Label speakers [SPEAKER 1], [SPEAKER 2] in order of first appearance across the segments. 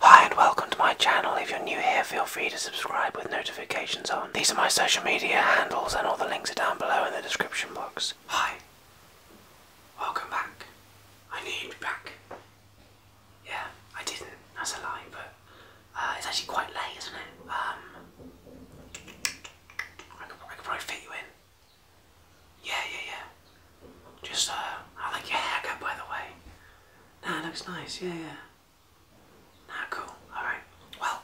[SPEAKER 1] Hi and welcome to my channel. If you're new here, feel free to subscribe with notifications on. These are my social media handles and all the links are down below in the description box. Hi. Welcome back. I named back. Yeah, I didn't. That's a lie, but uh, it's actually quite late, isn't it? Um, I could probably fit you in. Yeah, yeah, yeah. Just, uh, I like your haircut, by the way. Nah, it looks nice. Yeah, yeah. Nah, cool. All right. Well,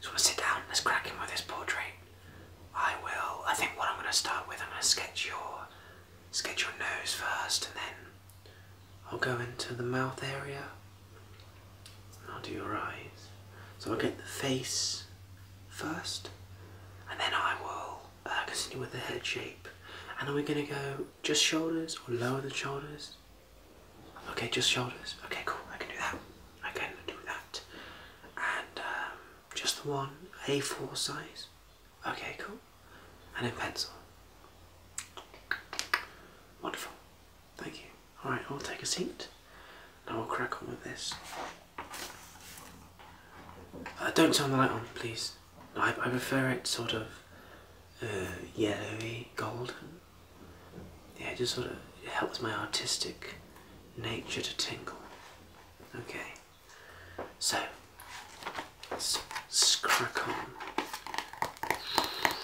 [SPEAKER 1] just want sit down. Let's crack in this portrait. I will. I think what I'm going to start with, I'm going to sketch your, sketch your nose first, and then I'll go into the mouth area. And I'll do your eyes. So I'll get the face first, and then I will uh, continue with the head shape. And are we going to go just shoulders or lower the shoulders? Okay, just shoulders. Okay, cool. I can do that. I can do that. And um, just the one A4 size. Okay, cool. And in pencil. Wonderful. Thank you. Alright, I'll take a seat and we'll crack on with this. Uh, don't turn the light on, please. I, I prefer it sort of uh, yellowy, golden. Yeah, it just sort of helps my artistic nature to tingle. Okay, so let on.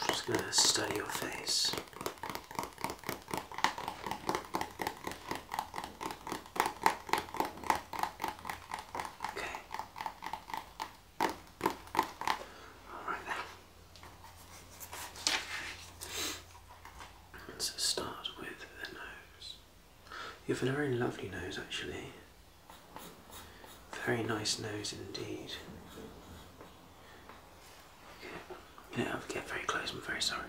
[SPEAKER 1] just gonna study your face. Okay. All right then. So start with the nose. You have a very lovely nose, actually. Very nice nose indeed. Yeah, i do have to get very close. I'm very sorry.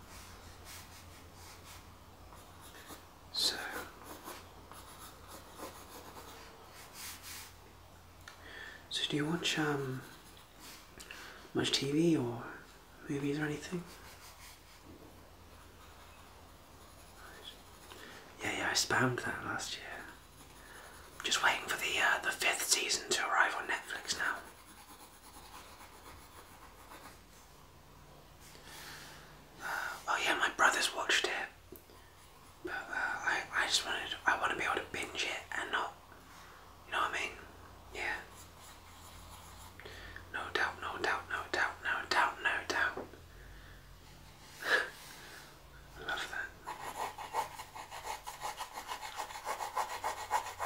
[SPEAKER 1] So So do you watch um, much TV or movies or anything? Yeah, yeah, I spammed that last year. Just waiting for the uh, the fifth season to arrive on Netflix now. Oh yeah, my brothers watched it, but uh, I I just wanted I want to be able to binge it and not, you know what I mean? Yeah. No doubt, no doubt, no doubt, no doubt, no doubt. I love that.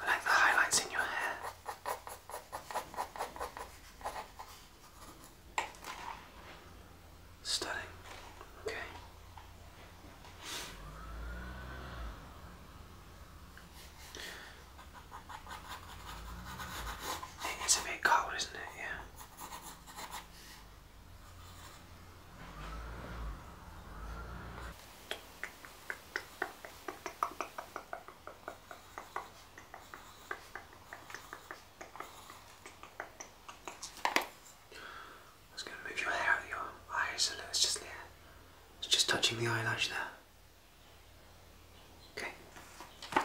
[SPEAKER 1] I like the highlights in your hair. Stunning. Okay. It's a bit color, isn't it? Yeah. It's going to move your hair your eyes a little. It's just there. It's just touching the eyelash there. Okay.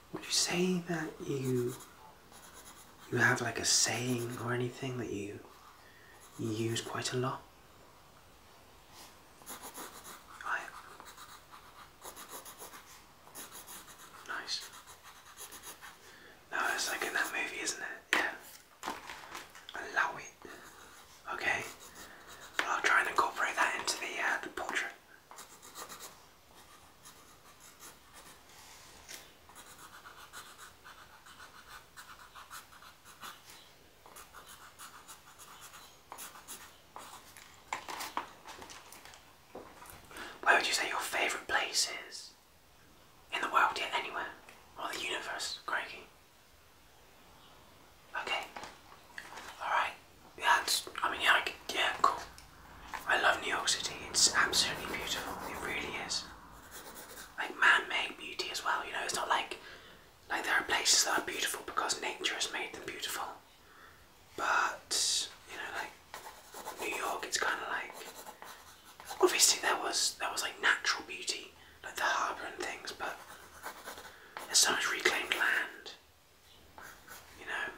[SPEAKER 1] would you say that you you have like a saying or anything that you you use quite a lot? Right. Nice. No, it's like in that movie, isn't it? Yeah. Allow it. Okay. I'll try and incorporate that into the uh, the portrait. Where would you say your favourite place is? In the world, yet anywhere? Or the universe, Craigie? Okay. Alright that's, I mean, yeah, yeah, cool. I love New York City. It's absolutely beautiful. It really is. Like man-made beauty as well. You know, it's not like like there are places that are beautiful because nature has made them beautiful. But you know, like New York, it's kind of like obviously there was there was like natural beauty, like the harbour and things, but there's so much reclaimed land you know.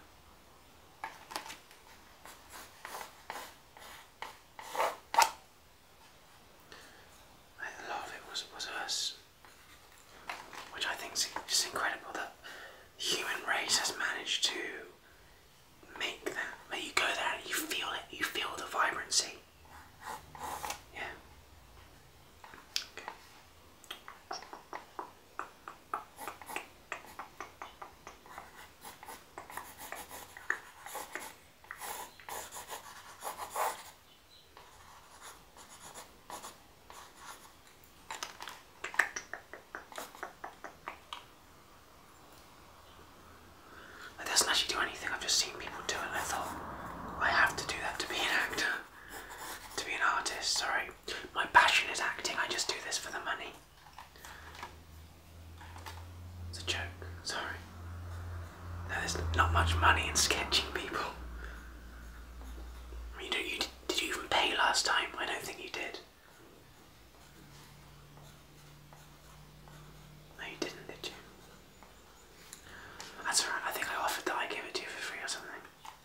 [SPEAKER 1] A lot of it was, was us, which I think is just incredible that the human race has managed to make that. Make you go there and you feel it, you feel the vibrancy. Yeah. That doesn't actually do anything, I've just seen people do it I thought I have to do that to be an actor, to be an artist, sorry. My passion is acting, I just do this for the money. It's a joke, sorry. there's not much money in sketching people. I mean, you, did you even pay last time? I don't think you did. No, you didn't, did you? That's alright, I think I offered that I gave it to you for free or something.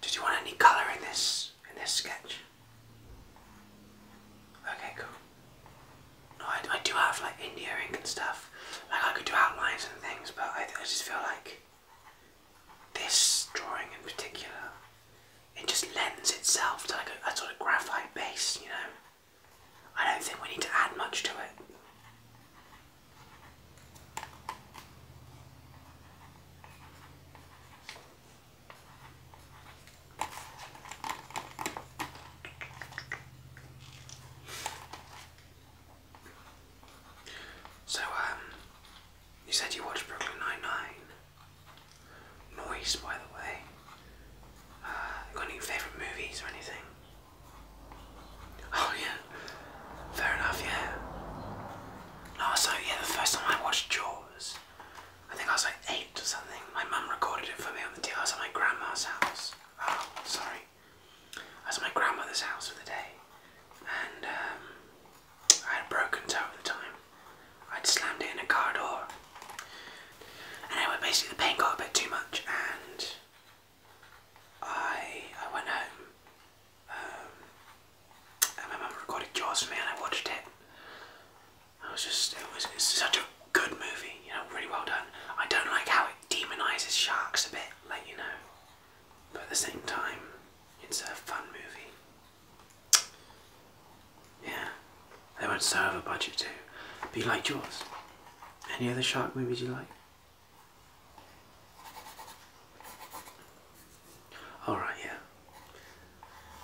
[SPEAKER 1] Did you want any colour in this in this sketch? Okay, cool. No, I, I do have like India ink and stuff. Like I could do outlines and things, but I, I just feel like this drawing in particular, it just lends itself to a, a sort of graphite base, you know. I don't think we need to add much to it. So, um, you said you watched Brooklyn Nine-Nine. Noise, by the way. Uh, got any favourite movies or anything? Oh, yeah. Fair enough, yeah. No, so, yeah, the first time I watched Jaws, I think I was like eight or something. My mum recorded it for me on the DLS at my grandma's house. Oh, sorry anyway, I was at my grandmother's house for the day, and um, I had a broken toe at the time. I'd slammed it in a car door. Anyway, basically the pain got a bit too much, and I I went home. Um, and my mum recorded Jaws for me, and I watched it. I was just it was such a good movie, you know, really well done. I don't like how it demonises sharks a bit, let you know. But at the same time, it's a fun movie. Yeah, they went so over budget too. Be like Jaws? Any other shark movies you like? Alright, yeah.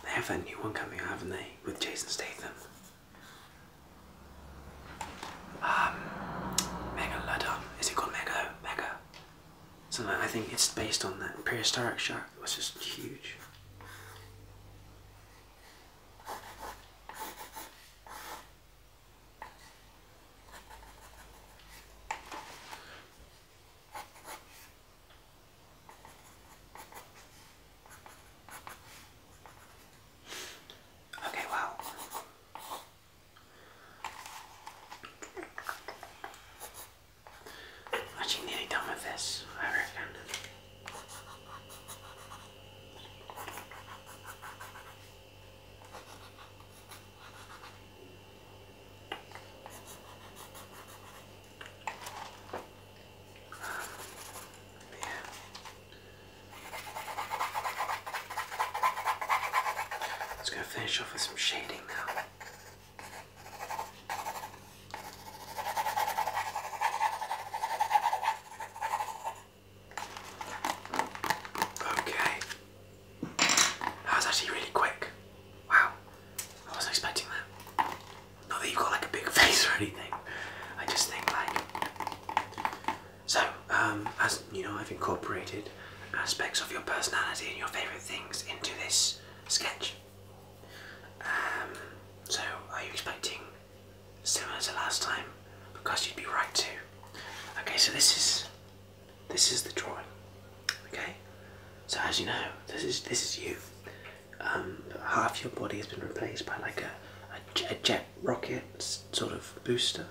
[SPEAKER 1] They have that new one coming, out, haven't they? With Jason Statham um, mega ladon. Is it called mega? Mega. So I think it's based on that prehistoric shark. It was just huge. Okay, wow. What Actually, nearly done with this, just gonna finish off with some shading now. Okay. That was actually really quick. Wow. I was expecting that. Not that you've got like a big face or anything. I just think like so, um, as you know, I've incorporated aspects of your personality and your favourite things into this sketch. Um, so, are you expecting similar to last time? Because you'd be right too. Okay, so this is this is the drawing. Okay, so as you know, this is this is you. Um, half your body has been replaced by like a a, a jet rocket sort of booster.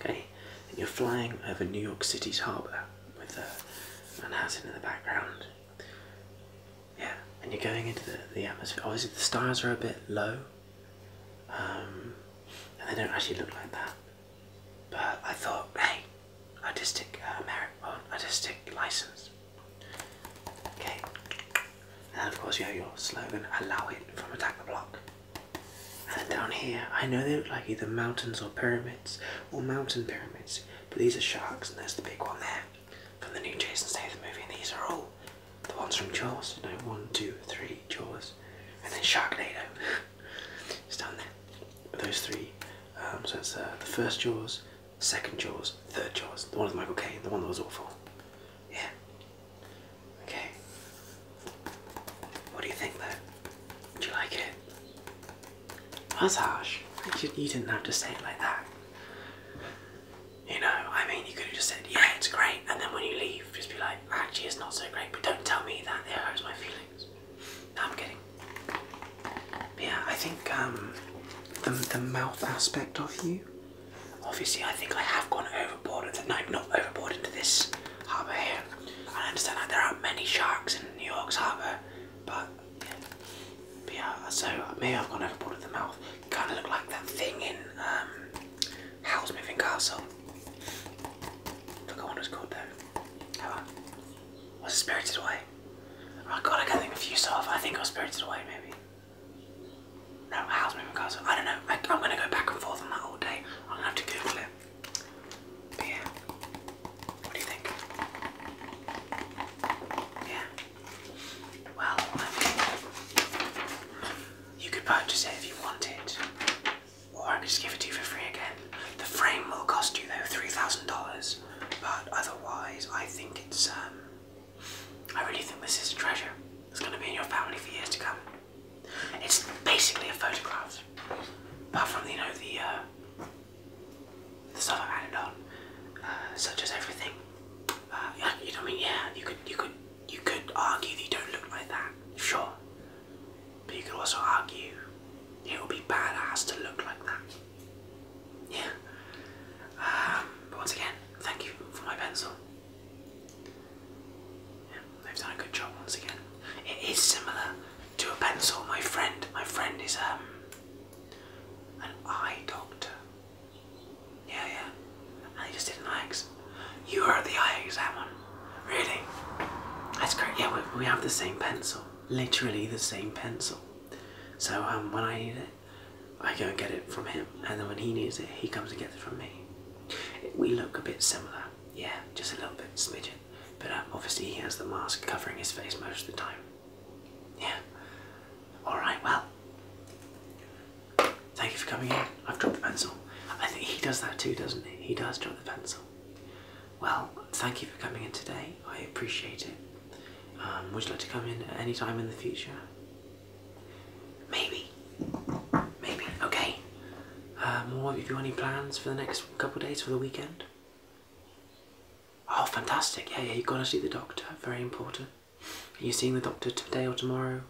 [SPEAKER 1] Okay, and you're flying over New York City's harbour with uh, Manhattan in the background. Yeah, and you're going into the, the atmosphere. Obviously, the stars are a bit low, um, and they don't actually look like that. But I thought, hey, artistic uh, merit, well, artistic license. Okay, and of course you have your slogan, allow it from attack the block. And down here, I know they look like either mountains or pyramids, or mountain pyramids, but these are sharks and there's the big one there from the new Jason Statham movie and these are all the ones from Jaws. No, one, two, three, Jaws. And then Sharknado. it's down there. Those three. Um, so it's uh, the first Jaws, second Jaws, third Jaws, the one with Michael Caine, the one that was awful. Yeah, Okay. What do you think though? Do you like it? That's harsh. You, you didn't have to say it like that. You know, I mean, you could have just said, yeah, it's great, and then when you leave, just be like, actually, it's not so great, but don't tell me that, it hurts my feelings. I'm kidding. yeah, I think um, the, the mouth aspect of you Obviously, I think I have gone overboard with the no, not overboard into this harbour here. I understand that there are many sharks in New York's harbour, but yeah. so maybe I've gone overboard with the mouth. Kind of look like that thing in um, Howl's Moving Castle. I forgot what it was called though. Hang Spirited Away? Oh god, I got them confused off. I think it was Spirited Away maybe. No, Howl's Moving Castle. I don't know. I, am gonna go back and forth on that all day. I'm gonna have to Google it. yeah. What do you think? Yeah. Well, I you could purchase it if you wanted, or I could just give it to you for free again. The frame will cost you though three thousand dollars, but otherwise, I think it's um. I really think this is a treasure. It's going to be in your family for years to come. It's basically a photograph, apart from you know the uh, stuff i added on, uh, such as everything. Uh, you know, I mean, yeah, you could you could you could argue that don't look like that, sure, but you could also argue it would be badass to look like that. Yeah. Um, but once again, thank you for my pencil. Yeah, they've done a good job once again. It is similar to a pencil. My friend, my friend is um an eye doctor. Yeah, yeah. And he just did an eye exam. You are the eye exam one. Really? That's great. Yeah, we, we have the same pencil. Literally the same pencil. So um, when I need it, I go and get it from him, and then when he needs it, he comes and gets it from me. We look a bit similar, yeah, just a little bit smidgen, but um, obviously he has the mask covering his face most of the time. Yeah. All right. Well, thank you for coming in. I've dropped the pencil. I think he does that too, doesn't he? He does drop the pencil. Well, thank you for coming in today. I appreciate it. Um, would you like to come in at any time in the future? Maybe. Maybe. Okay. Um, or do you have any plans for the next couple of days for the weekend? Oh, fantastic. Yeah, yeah, you've got to see the doctor. Very important. Are you seeing the doctor today or tomorrow?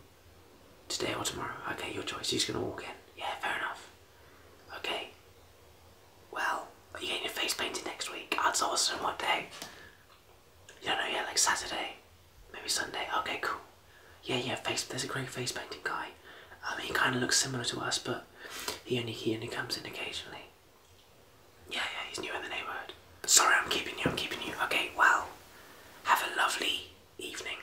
[SPEAKER 1] Today or tomorrow? Okay, your choice. He's going to walk in. Yeah, fair enough. Okay. Well, are you getting your face painted next week? That's awesome. What day? You don't know yet, like Saturday, maybe Sunday. Okay, cool. Yeah, yeah. Face. There's a great face painting guy. I mean, he kind of looks similar to us, but he only he only comes in occasionally. Yeah, yeah. He's new in the neighborhood. Sorry, I'm keeping you. I'm keeping you. Okay. Well, have a lovely evening,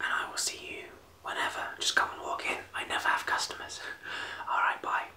[SPEAKER 1] and I will see you whenever. Just come and walk in. I never have customers. All right. Bye.